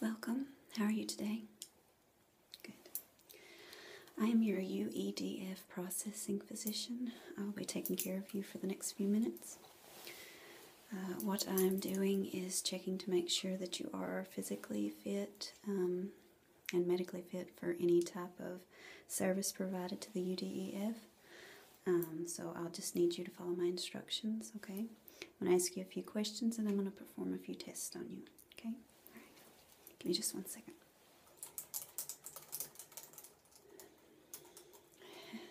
Welcome. How are you today? Good. I am your UEDF processing physician. I will be taking care of you for the next few minutes. Uh, what I'm doing is checking to make sure that you are physically fit um, and medically fit for any type of service provided to the UDEF. Um, so I'll just need you to follow my instructions, okay? I'm going to ask you a few questions and I'm going to perform a few tests on you, okay? Give me just one second.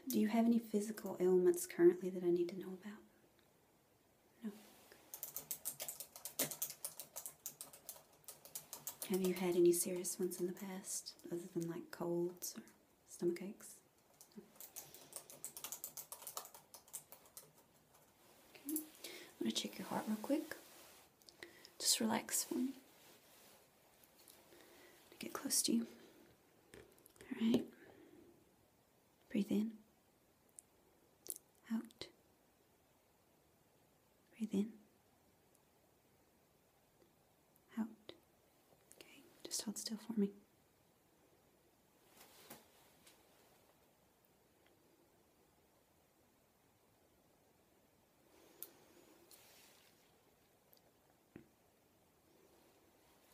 Do you have any physical ailments currently that I need to know about? No. Have you had any serious ones in the past, other than like colds or stomach aches? I'm gonna check your heart real quick. Just relax for me. Get close to you. All right. Breathe in. Out. Breathe in out. Okay, just hold still for me.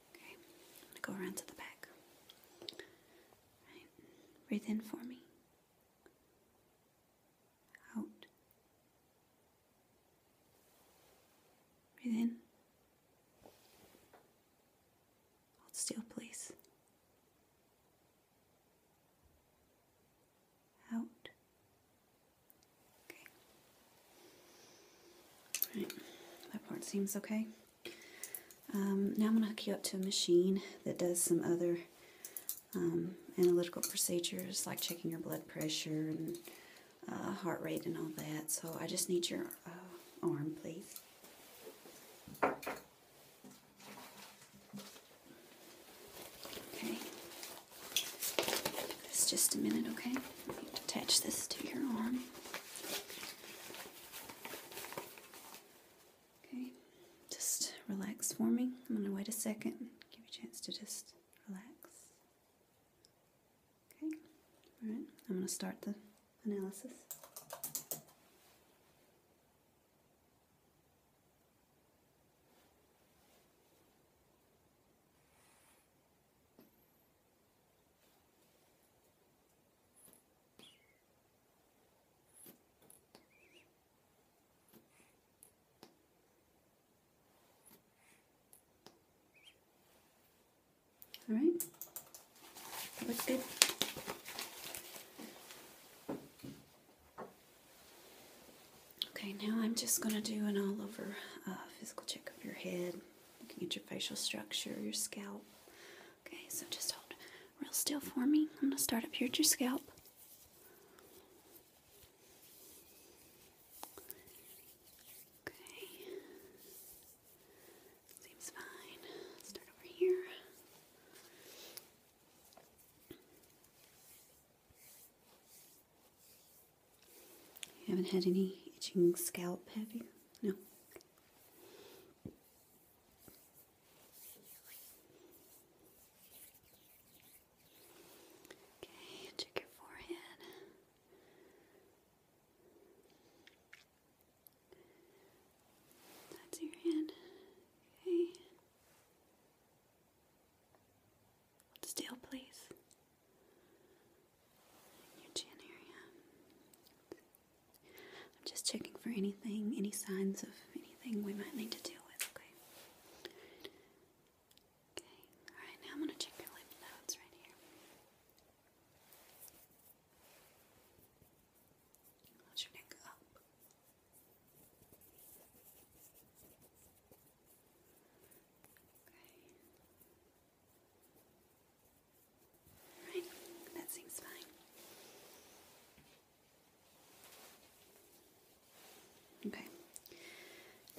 Okay, I'm gonna go around to the back. Breathe in for me. Out. Breathe in. Hold still, please. Out. Okay. All right. That part seems okay. Um, now I'm going to hook you up to a machine that does some other um, analytical procedures like checking your blood pressure and uh, heart rate and all that. So I just need your uh, arm, please. Okay. just a minute, okay? attach this to your arm. Okay. Just relax for me. I'm going to wait a second. Give you a chance to just relax. Okay, alright, I'm going to start the analysis. All right, that looks good. Okay, now I'm just going to do an all over uh, physical check of your head, looking at your facial structure, your scalp. Okay, so just hold real still for me. I'm going to start up here at your scalp. Okay. Seems fine. start over here. You haven't had any itching scalp, have you? No. Okay, check your forehead. That's your hand. Okay. still, please. Your chin area. I'm just checking for anything, any signs of anything we might need to deal with, okay? Okay, alright, now I'm going to check your lymph nodes right here. Hold your neck up. Okay. Right, that seems fine. Okay.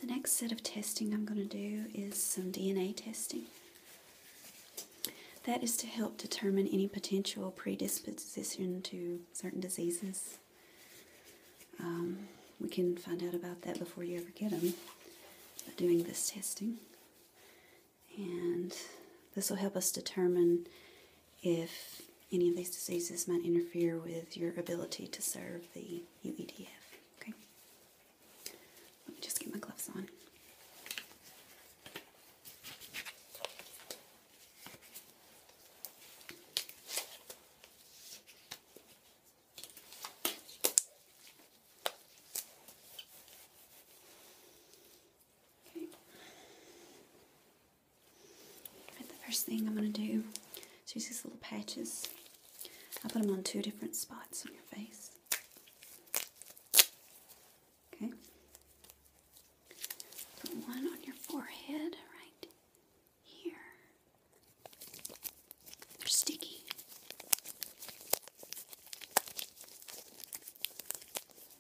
The next set of testing I'm going to do is some DNA testing. That is to help determine any potential predisposition to certain diseases. Um, we can find out about that before you ever get them by doing this testing. And this will help us determine if any of these diseases might interfere with your ability to serve the UEDF. Okay? just get my gloves on. Okay the first thing I'm going to do is use these little patches. i put them on two different spots on your face. Okay. Put one on your forehead right here. They're sticky.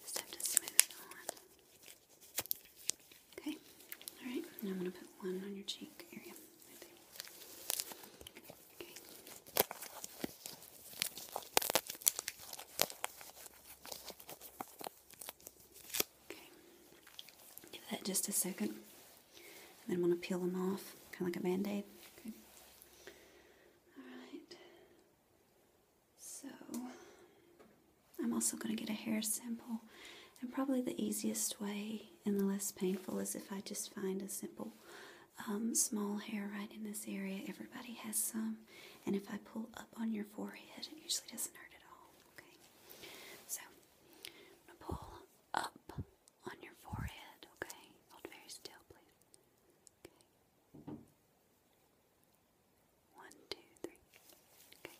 Just to smooth on. Okay, all right, now I'm going to put one on your cheek area. Okay. give that just a second. And then I'm going to peel them off, kind of like a band aid. Okay. All right. So, I'm also going to get a hair sample. And probably the easiest way and the less painful is if I just find a simple um, small hair right in this area. Everybody has some. And if I pull up on your forehead, it usually doesn't hurt at all. Okay. So, I'm going to pull up on your forehead. Okay. Hold very still, please. Okay. One, two, three. Okay.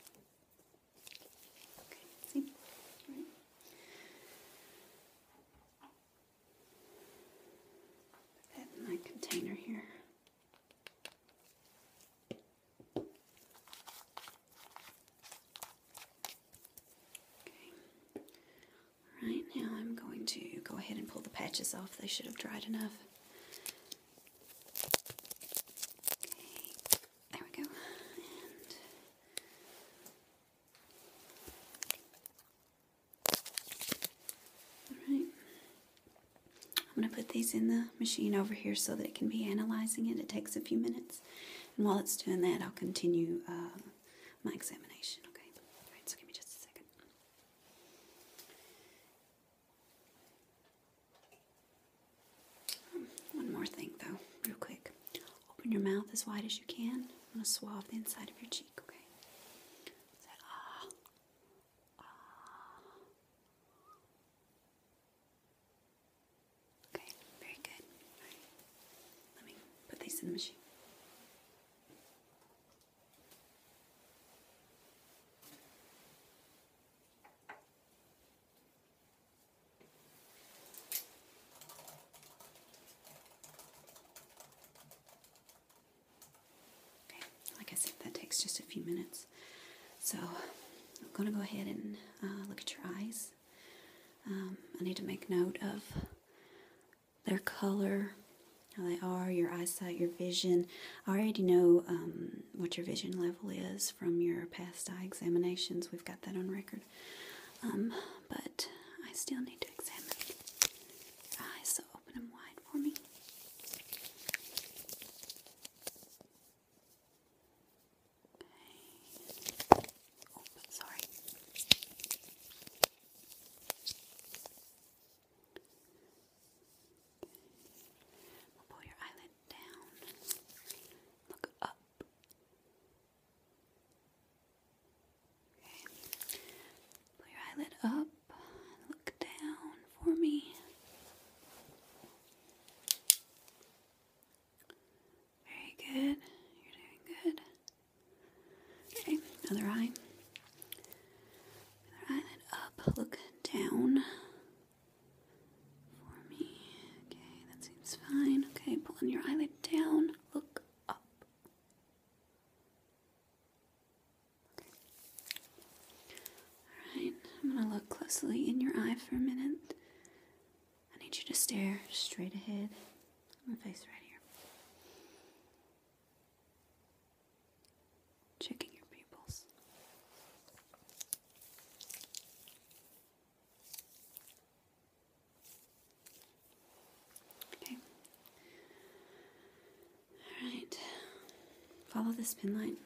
Okay, see? All right. in my container here. Okay. All right, now I'm going to go ahead and pull the patches off. They should have dried enough. Okay, there we go. Alright. I'm going to put these in the machine over here so that it can be analyzing it. It takes a few minutes. And while it's doing that, I'll continue uh, my examination, okay? Alright, so give me just a second. One more thing, though, real quick. Open your mouth as wide as you can. I'm going to swab the inside of your cheek, okay? Ah, ah. Okay, very good. Let me put these in the machine like I said, that takes just a few minutes. So I'm going to go ahead and uh, look at your eyes. Um, I need to make note of their color, how they are, your eyesight, your vision. I already know um, what your vision level is from your past eye examinations. We've got that on record. Um, but I still need to examine your eyes, so open them wide for me. Okay. sorry. We'll pull your eyelid down. Look up. Okay. Pull your eyelid up. Look down for me. Very good. You're doing good. Okay, another eye. eyelid up. Look down for me. Okay, that seems fine. Okay, pulling your eyelid down. Look up. Alright, I'm gonna look closely in your eye for a minute. I need you to stare straight ahead. My face right here. Checking your pupils. Okay. All right. Follow this spin line.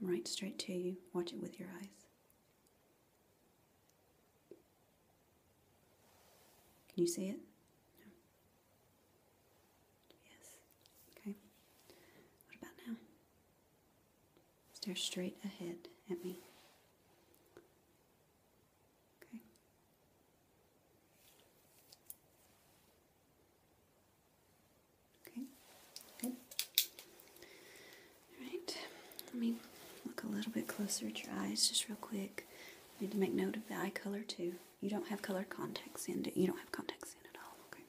Come right straight to you. Watch it with your eyes. Can you see it? Yes. Okay. What about now? Stare straight ahead at me. Okay. Okay. Good. All right. Let me look a little bit closer at your eyes just real quick. Need to make note of the eye color too. You don't have color contacts in. it. You don't have contacts in at all. okay.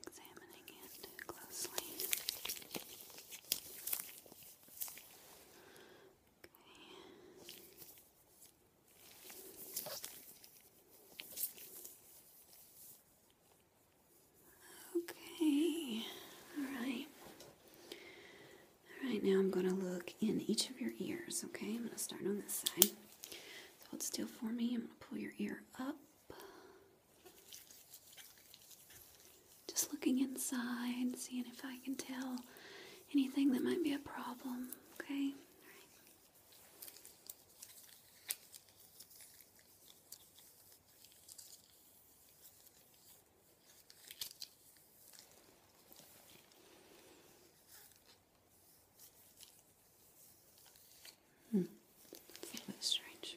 Examining it closely. Okay. Okay, all right. All right, now I'm going to look in each of your ears, okay? I'm going to start on this side. So hold still for me. I'm going to pull your ear up. Just looking inside, seeing if I can tell anything that might be a problem, okay? Hmm. a little bit strange.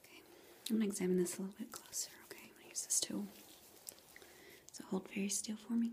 Okay, I'm gonna examine this a little bit closer. Okay, I'm gonna use this tool. So hold very still for me.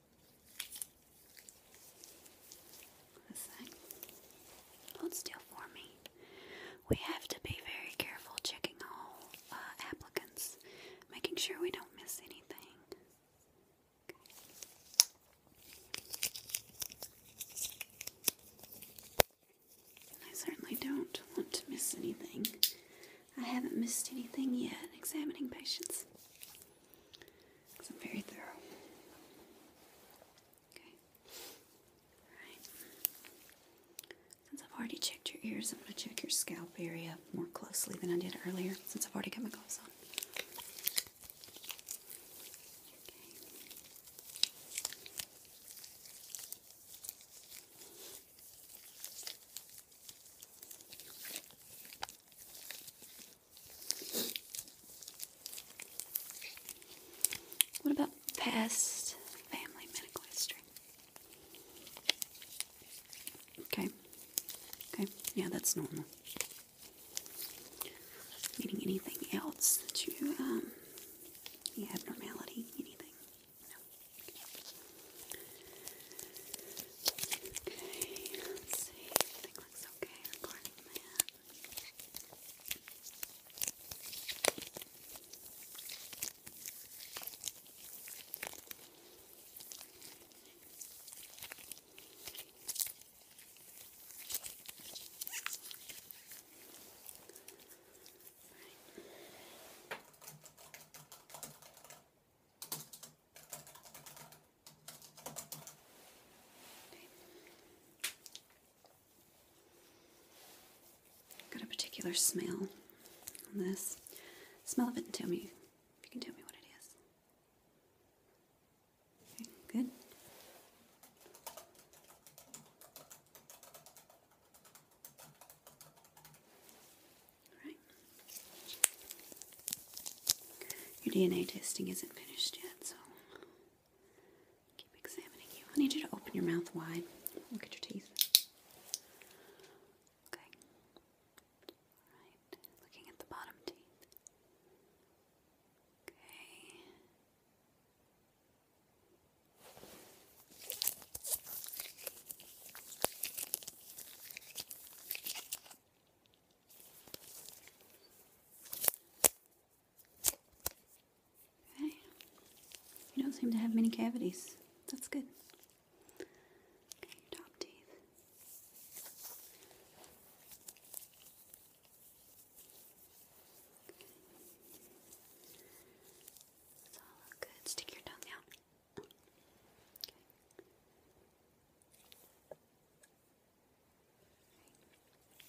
A sec. Hold for me. We have to be very careful checking all uh, applicants, making sure we don't miss anything. I certainly don't want to miss anything. I haven't missed anything yet examining patients. Because very thorough. Okay. Alright. Since I've already checked your ears, I'm going to check your scalp area more closely than I did earlier since I've already got my gloves on. What about past family medical history? Okay. Okay. Yeah, that's normal. Meaning anything else that you, um, any abnormality, anything? No. Okay, let's see. Everything looks okay according to plan. Right. Got a particular smell on this. Smell of it and tell me if you can tell me what it is. Okay, good. Your DNA testing isn't finished yet, so keep examining you. I need you to open your mouth wide. Look at your teeth. Okay. Alright. Looking at the bottom teeth. Okay. Okay. You don't seem to have many cavities. That's good. your top teeth. It's all good. Stick your tongue out.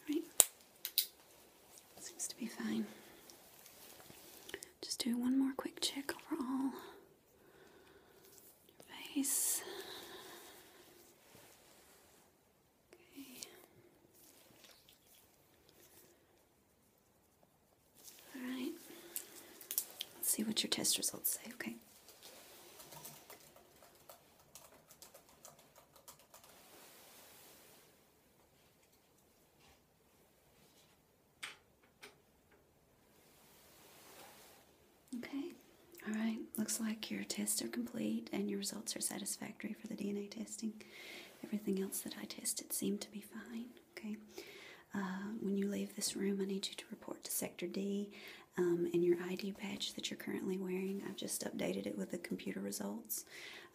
Right. Seems to be fine. Just do one more quick check overall. Your face. Okay. All right. Let's see what your test results say, okay? Okay. All right. Looks like your tests are complete and your results are satisfactory for the DNA testing. Everything else that I tested seemed to be fine. Okay. Uh, when you leave this room, I need you to report to Sector D um, and your ID badge that you're currently wearing. I've just updated it with the computer results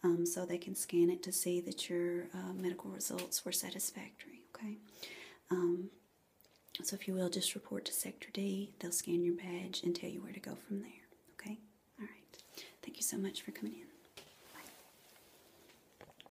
um, so they can scan it to see that your uh, medical results were satisfactory. Okay. Um, so, if you will, just report to Sector D. They'll scan your badge and tell you where to go from there. Okay? All right. Thank you so much for coming in.